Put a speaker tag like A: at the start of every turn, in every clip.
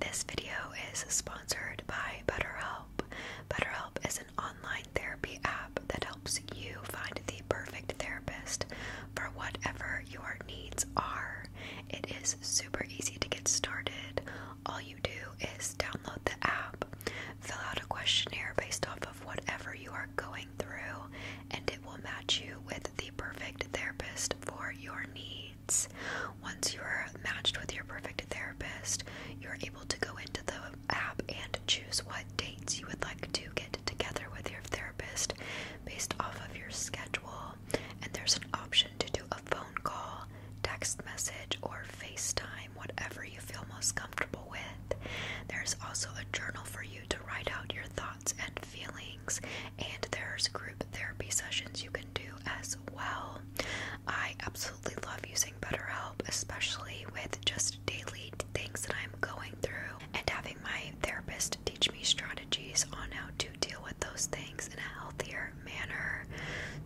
A: This video is sponsored by BetterHelp. BetterHelp is an online therapy app that helps you find the perfect therapist for whatever your needs are. It is super easy to get started. All you do is download the app, fill out a questionnaire based off of whatever you are going through, and it will match you with the perfect therapist for your needs. Once you're matched with your perfect therapist, you're able to go into the app and choose what dates you would like to get together with your therapist based off of your schedule. And there's an option to do a phone call, text message, or FaceTime, whatever you feel most comfortable with. There's also a journal for you to write out your thoughts and feelings and there's group therapy sessions you can do as well. I absolutely love using BetterHelp, especially with just daily things that I'm going through, and having my therapist teach me strategies on how to deal with those things in a healthier manner.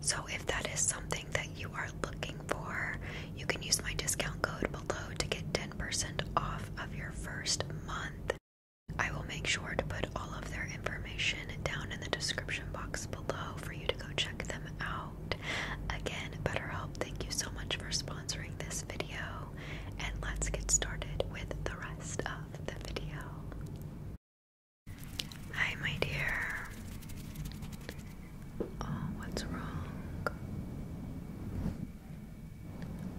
A: So, if that is something that you are looking for, you can use my discount code below to get 10% off of your first month. I will make sure to put all of their information down in the description box below for you to go check them out. Again, BetterHelp, thank you so much for sponsoring this video, and let's get started with the rest of the video. Hi, my dear. Oh, what's wrong?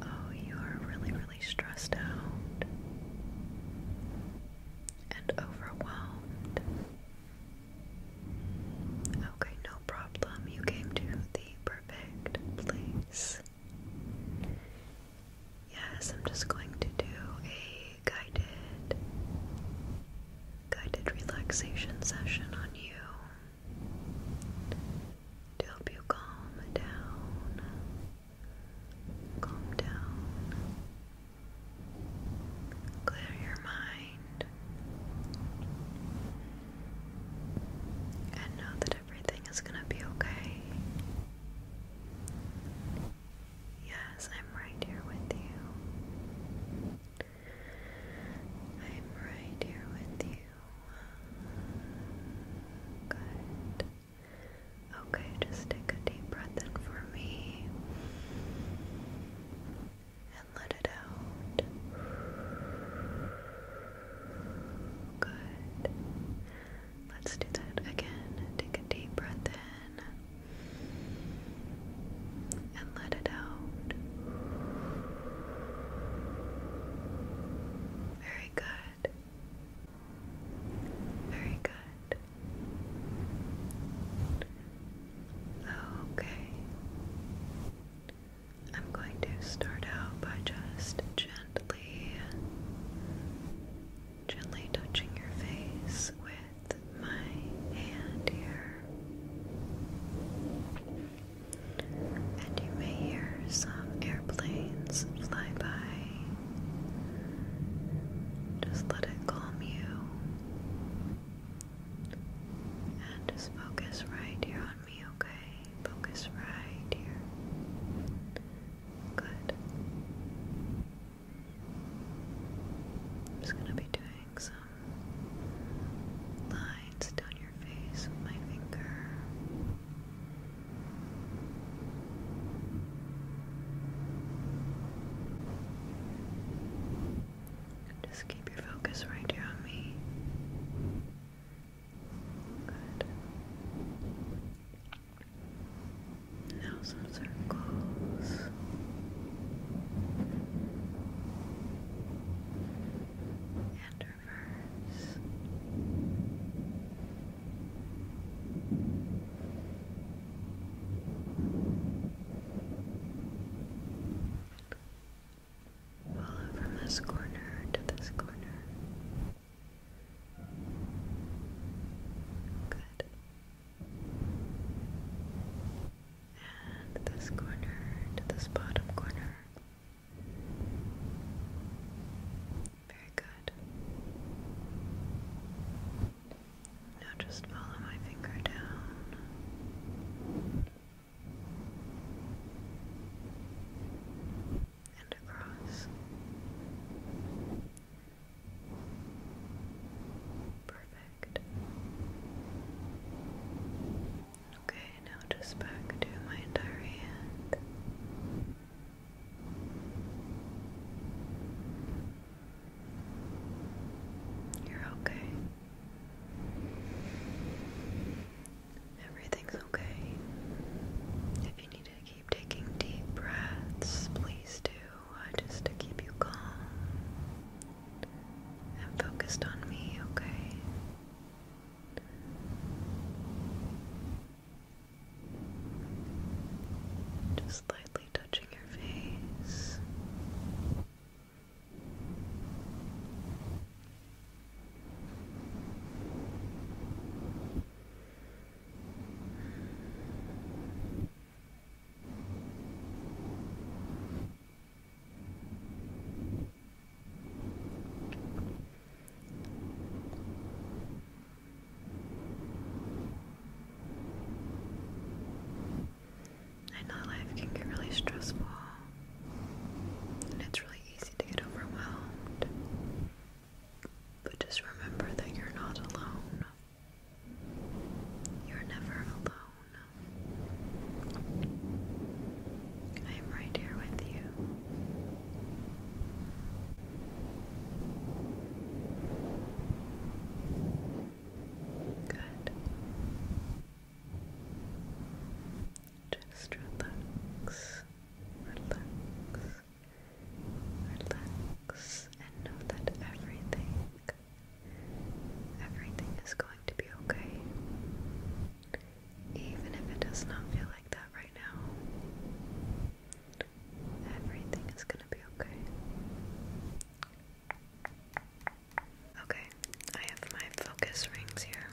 A: Oh, you are really, stressed out and overwhelmed. Okay, no problem. You came to the perfect place. Yes, I'm just going to do a guided guided relaxation session on you to help you calm down Calm down. Clear your mind. And know that everything is going to be okay. Yes, I'm right here with you. I'm right here with you. Good. Okay, just take a deep breath in for me and let it out. Good. Let's do that again. Take a deep breath in and let it out. Very good. Very good. Okay. I'm going to start out by just gently, gently touching your face with my hand here. And you may hear some airplanes fly by just let it calm you. And just focus right here on me, okay? Focus right here. Good. just gonna be doing some lines down your face with my finger. Just keep your focus right here on me. Good. Now some circles. And reverse. Follow from this corner to this corner. Good. And this corner to this bottom corner. Very good. Now just follow my finger down and across. Perfect. Okay, now just back to my entire you're okay. Everything's okay. If you need to keep taking deep breaths, please do, just to keep you calm and focused on me, okay? Just lightly touching your face. I know life can get really stressful, and it's really easy to get overwhelmed. But just remember that you're not alone. You're never alone. I am right here with you. Good. Just relax, relax, relax, and know that everything, everything is going to be okay. Even if it does not feel like that right now, everything is going to be okay. Okay, I have my focus rings here.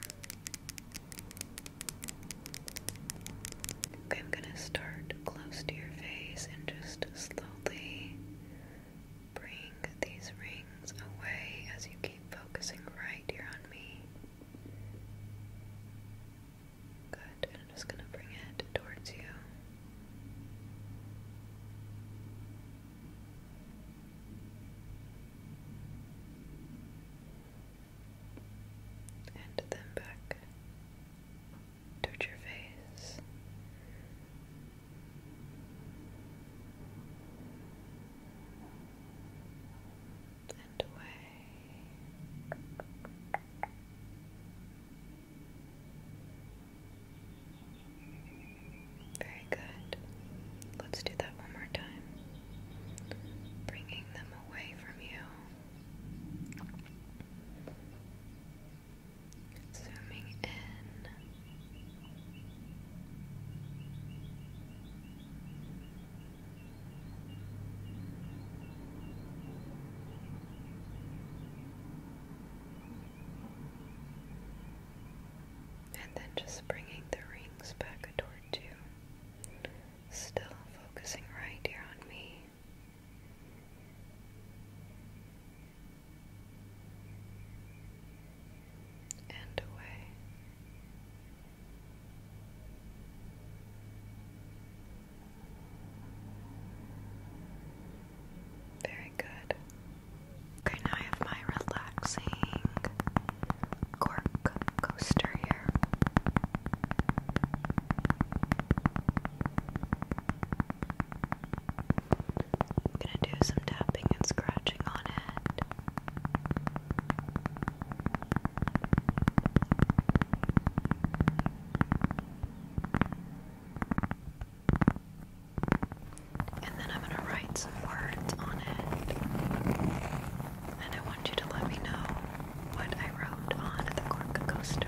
A: Okay, I'm going to start close to your face and just slowly bring these rings away as you keep focusing right here on me. Good, I'm just going to bring it towards you. And then back towards your face and away. Very good. Let's do that one more time. Bringing them away from you. Zooming in. And then just bringing the rings back toward you. Still focusing right here on me. And away. Very good. Okay, now I have my relaxing cork coaster here. I'm gonna do some tapping and scratching on it. And then I'm going to write some words on it. And I want you to let me know what I wrote on the cork coaster.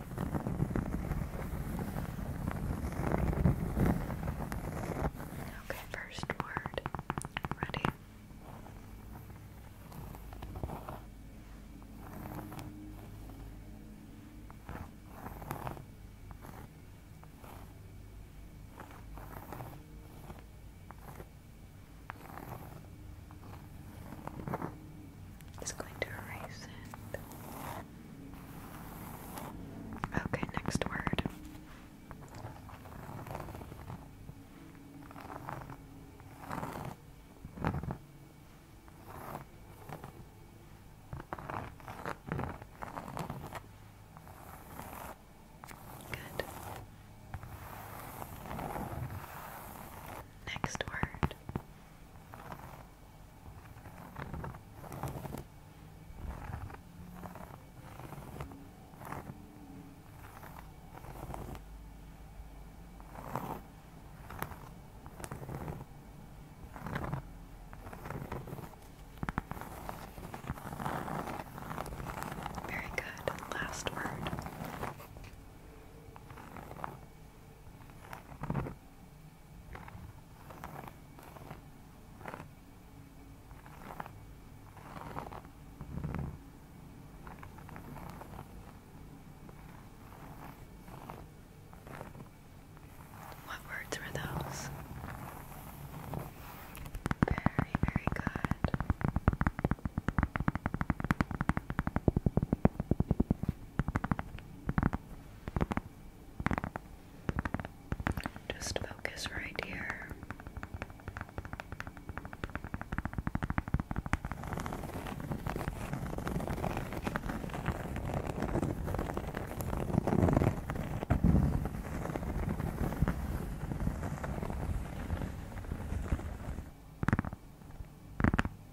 A: Okay, first word. Ready? It's going to erase it. Okay, next word. Good. Next word. Very good. Last word. What words were those? Very, very good. Just focus right here.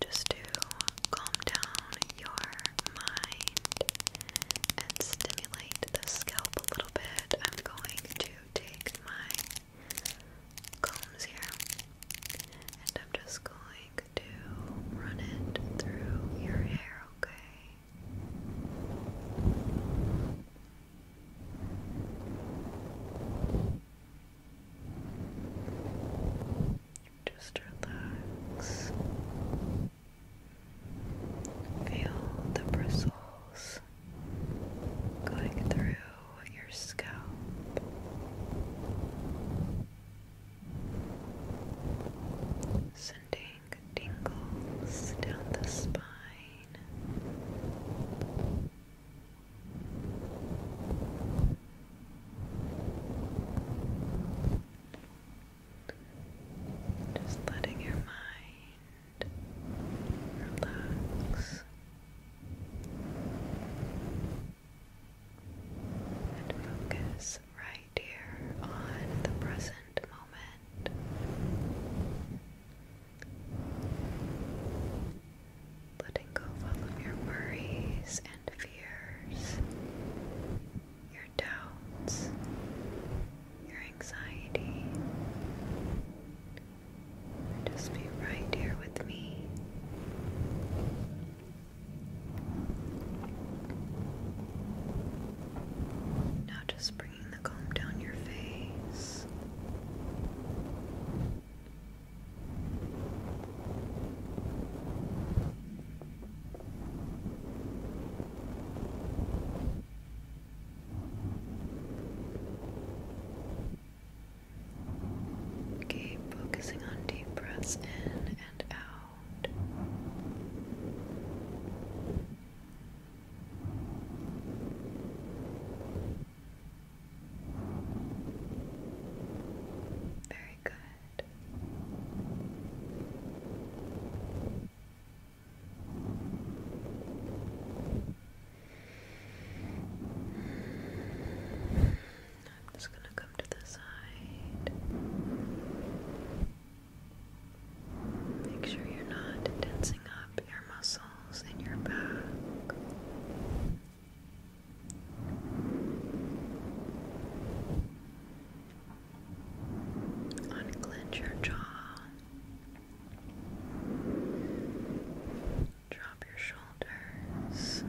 A: just to calm down your mind and stimulate the scalp a little bit. I'm going to take my combs here and I'm just going to run it through your hair, okay? Just relax. Feel the bristles going through your scalp. Sending tingles down the spine. Just letting your mind relax and focus right here on the present moment. Letting go of all of your worries and fears, your doubts, your anxiety. Just be right here with me. Now, just bringing the comb down your face. Keep focusing on deep breaths in and out. Very good. I'm just going to come to the side. Make sure you're not tensing up your muscles in your back. Unclench your jaw. Drop your shoulders.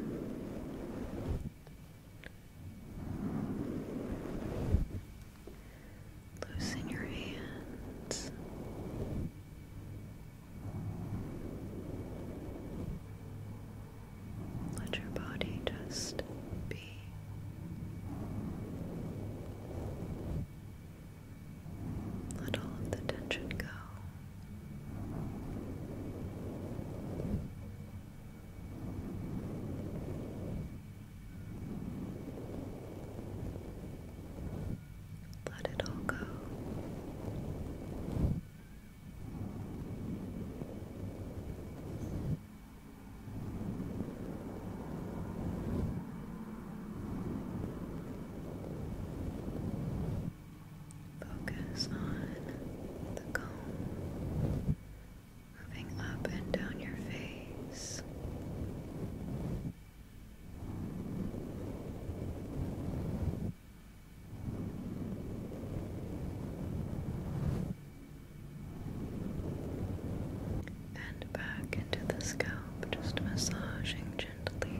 A: Loosen your hands. Let your body just be. Let all of the tension go. Let it all go. Focus on the comb moving up and down your face. And back into the scalp, just massaging gently.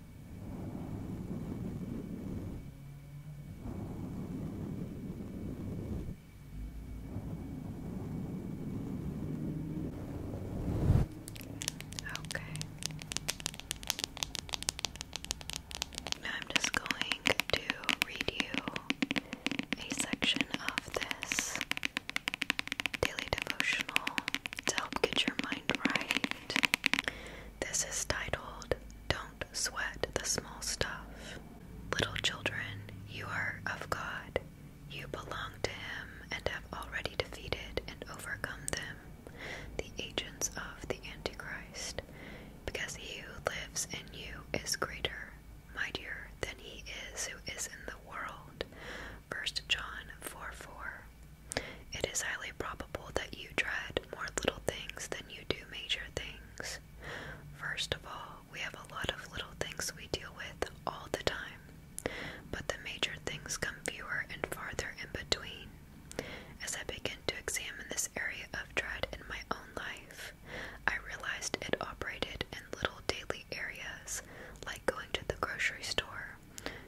A: Okay. I'm just going to read you a section of this daily devotional to help get your mind right. This is titled Don't Sweat the Small Stuff. Little children, you are of God. You belong to Him and have already defeated and overcome them, the agents of the Antichrist, because He who lives in you is greater, mightier than He is who is in the world. 1 John 4 4. It is highly probable that you dread more little things than you do major things. First of all, we have a lot of little things we deal with all the time, but the major things come fewer and farther in between. As I began to examine this area of dread in my own life, I realized it operated in little daily areas, like going to the grocery store,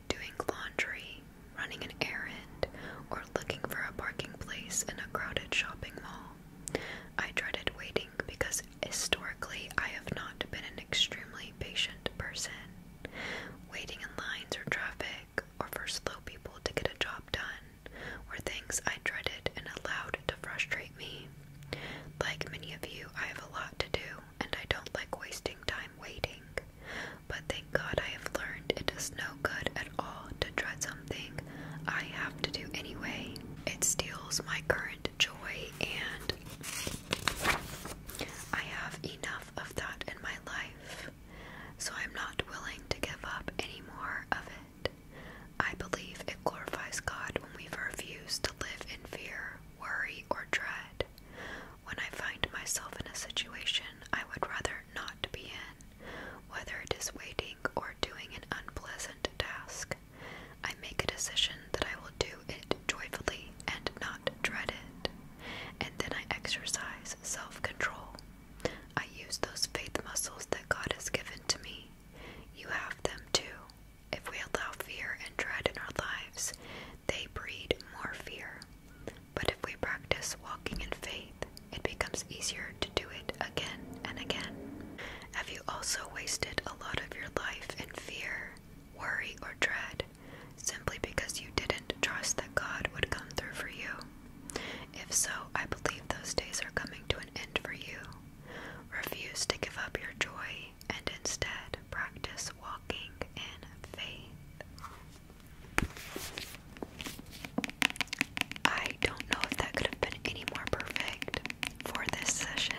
A: doing laundry, running an errand, or looking for a parking place in a crowded shopping mall. I dreaded waiting because historically I have not been an extremely patient person. Waiting in lines or traffic, or for slow people to get a job done, were things I dreaded and allowed to frustrate me. Like many of you, I have a lot to do and I don't like wasting time waiting. But thank God I have learned it does no good at all to dread something I have to do anyway. It steals my current joy, and I have enough of that in my life, so I'm not willing to give up any more of it. I believe it glorifies God when we refuse to live in fear, worry, or dread. When I find myself in a situation I would rather not to be in, whether it is waiting or doing an unpleasant task. I make a decision that I will do it joyfully and not dread it, and then I exercise self control. I use those faith muscles that God has given to me. You have them too. If we allow fear and dread in our lives, they breed more fear. But if we practice walking in faith, it becomes easier to do it again and again. Have you also wasted a lot of your life in fear, worry, or dread simply because you didn't trust that God would come through for you? If so, I believe those days are coming to an end for you. Refuse to give up your joy and instead practice walking in faith. I don't know if that could have been any more perfect for this session.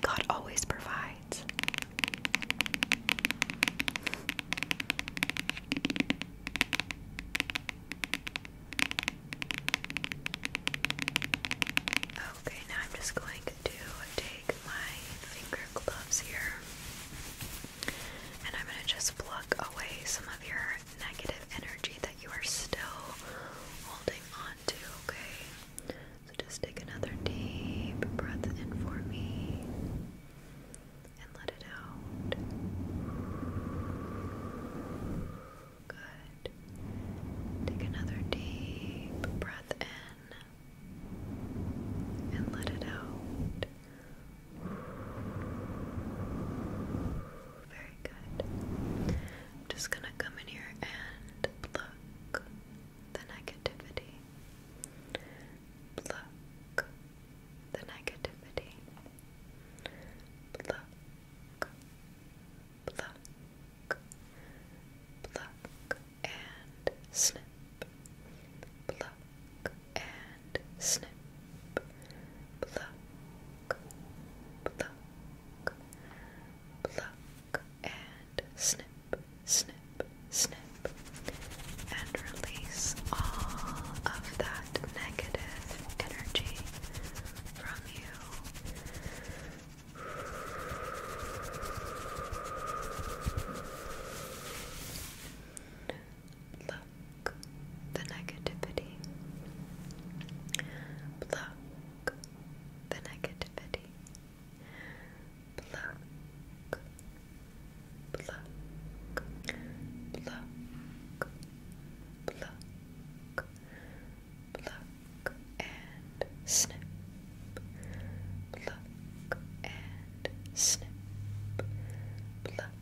A: God always provides. Okay, now I'm just going to take my finger gloves here and I'm going to just pluck away some of your negative energy that you are still holding on to, okay? So just take another deep breath in for me and let it out. Good. Take another deep breath in and let it out. Very good. I'm just gonna come in here and pluck the negativity. Pluck the negativity. Pluck, pluck, pluck, and snip, pluck and snip, pluck, pluck, pluck and snip, snip, snip, and release all of that negative energy from you. Pluck the negativity. Pluck the negativity. Pluck. Pluck. Pluck. Pluck. Pluck and snip, pluck and snip, pluck,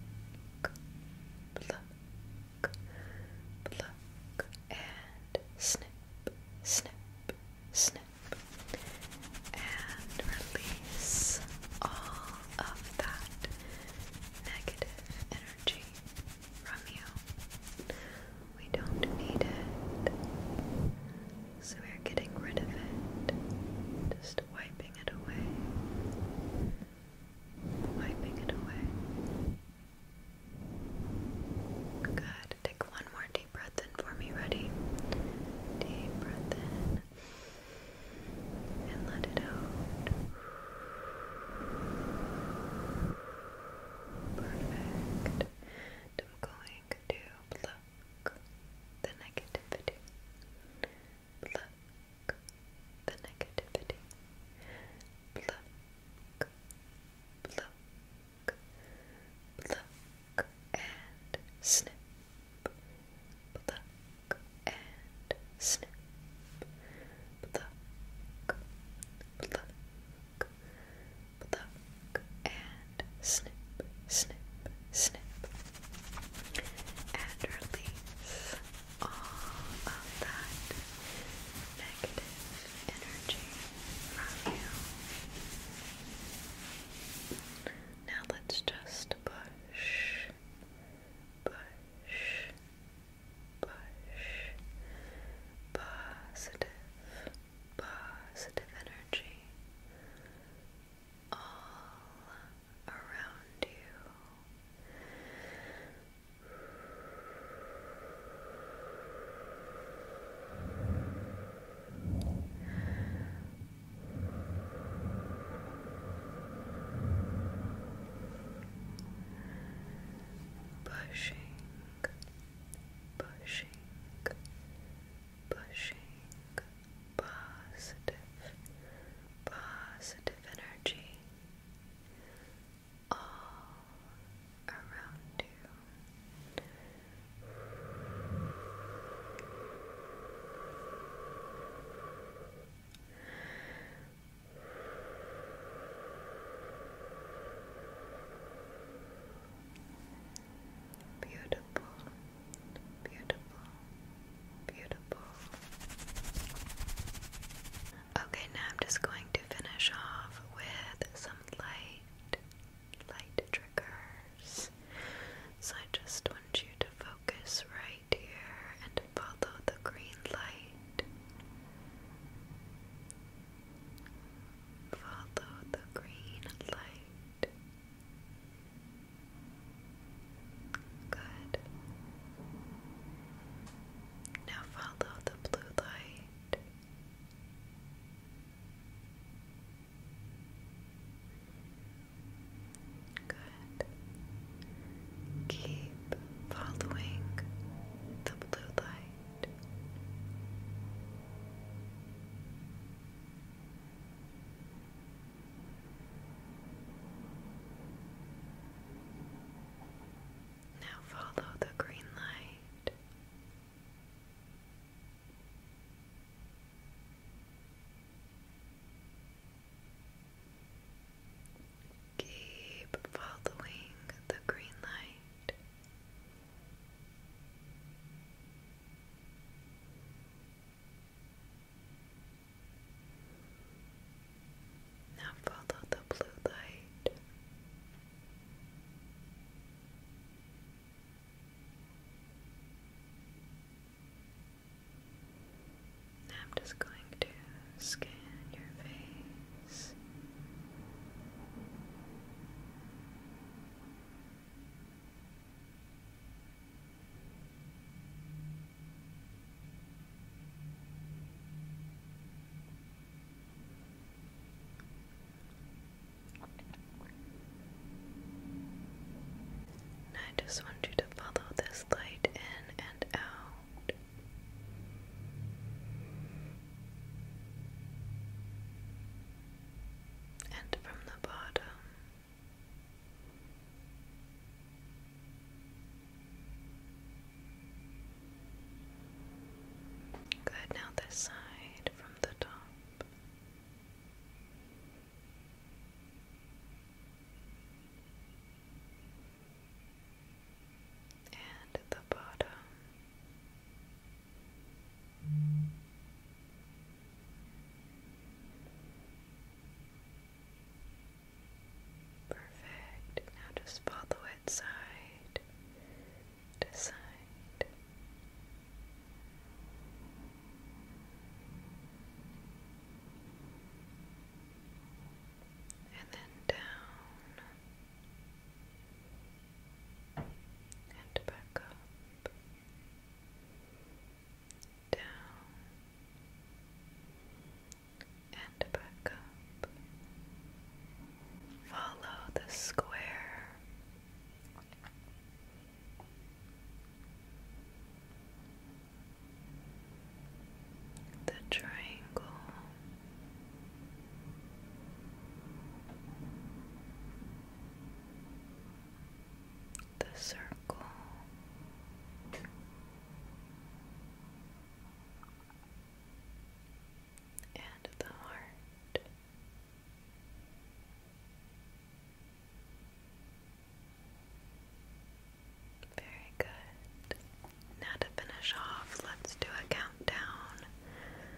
A: pluck, pluck and snip, snip, snip, and release all of that negative energy from you. We don't need it. So we're getting rid of it, just wiping it away, wiping it away. Good. Take one more deep breath in for me. Ready? Deep breath in and let it out. Perfect. I'm going to blow the negativity. Pluck the negativity. Pluck. Pluck. Pluck and snip. Pluck and snip. Pluck. Pluck. Pluck and snip, snip, snip, and release all of that negative energy from you. Now let's just push, push, push positive, positive energy all around you. Pushing, pushing, pushing, positive, positive energy all around you. Beautiful, beautiful, beautiful. Okay, now I'm just going to finish off with some light, light triggers. So I just want you to focus right here and follow the green light. Follow the green light. Good. Now follow the blue light. Good. Keep following the blue light. Now follow the green light. Keep following the green light. Now follow the blue light. I'm just going to scan your face. And I just want you to follow this light in and out and from the bottom. Good, now this side from the top. And the bottom, Perfect. Now just follow it side to side. And then down and back up down and back up. Follow the square. The triangle the circle. And the heart. Very good. Now to finish off, let's do a countdown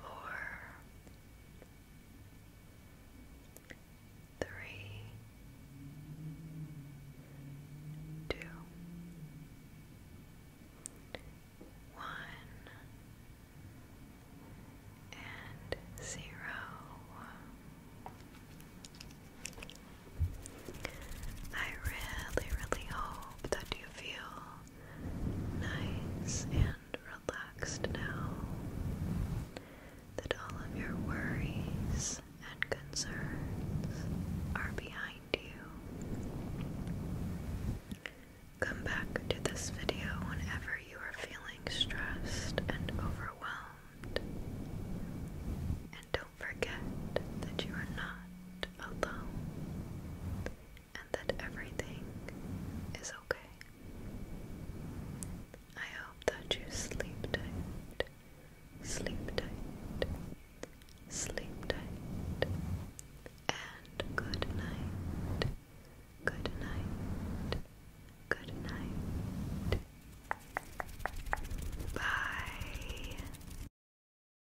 A: four, three, two, one, and zero. I really, really hope that you feel nice and relaxed now that all of your worries and concerns are behind you. Come back to this video whenever you are feeling stressed and overwhelmed. And don't forget that you are not alone and that everything is okay. I hope that you sleep tight, sleep tight, sleep tight, and good night, good night, good night. Bye.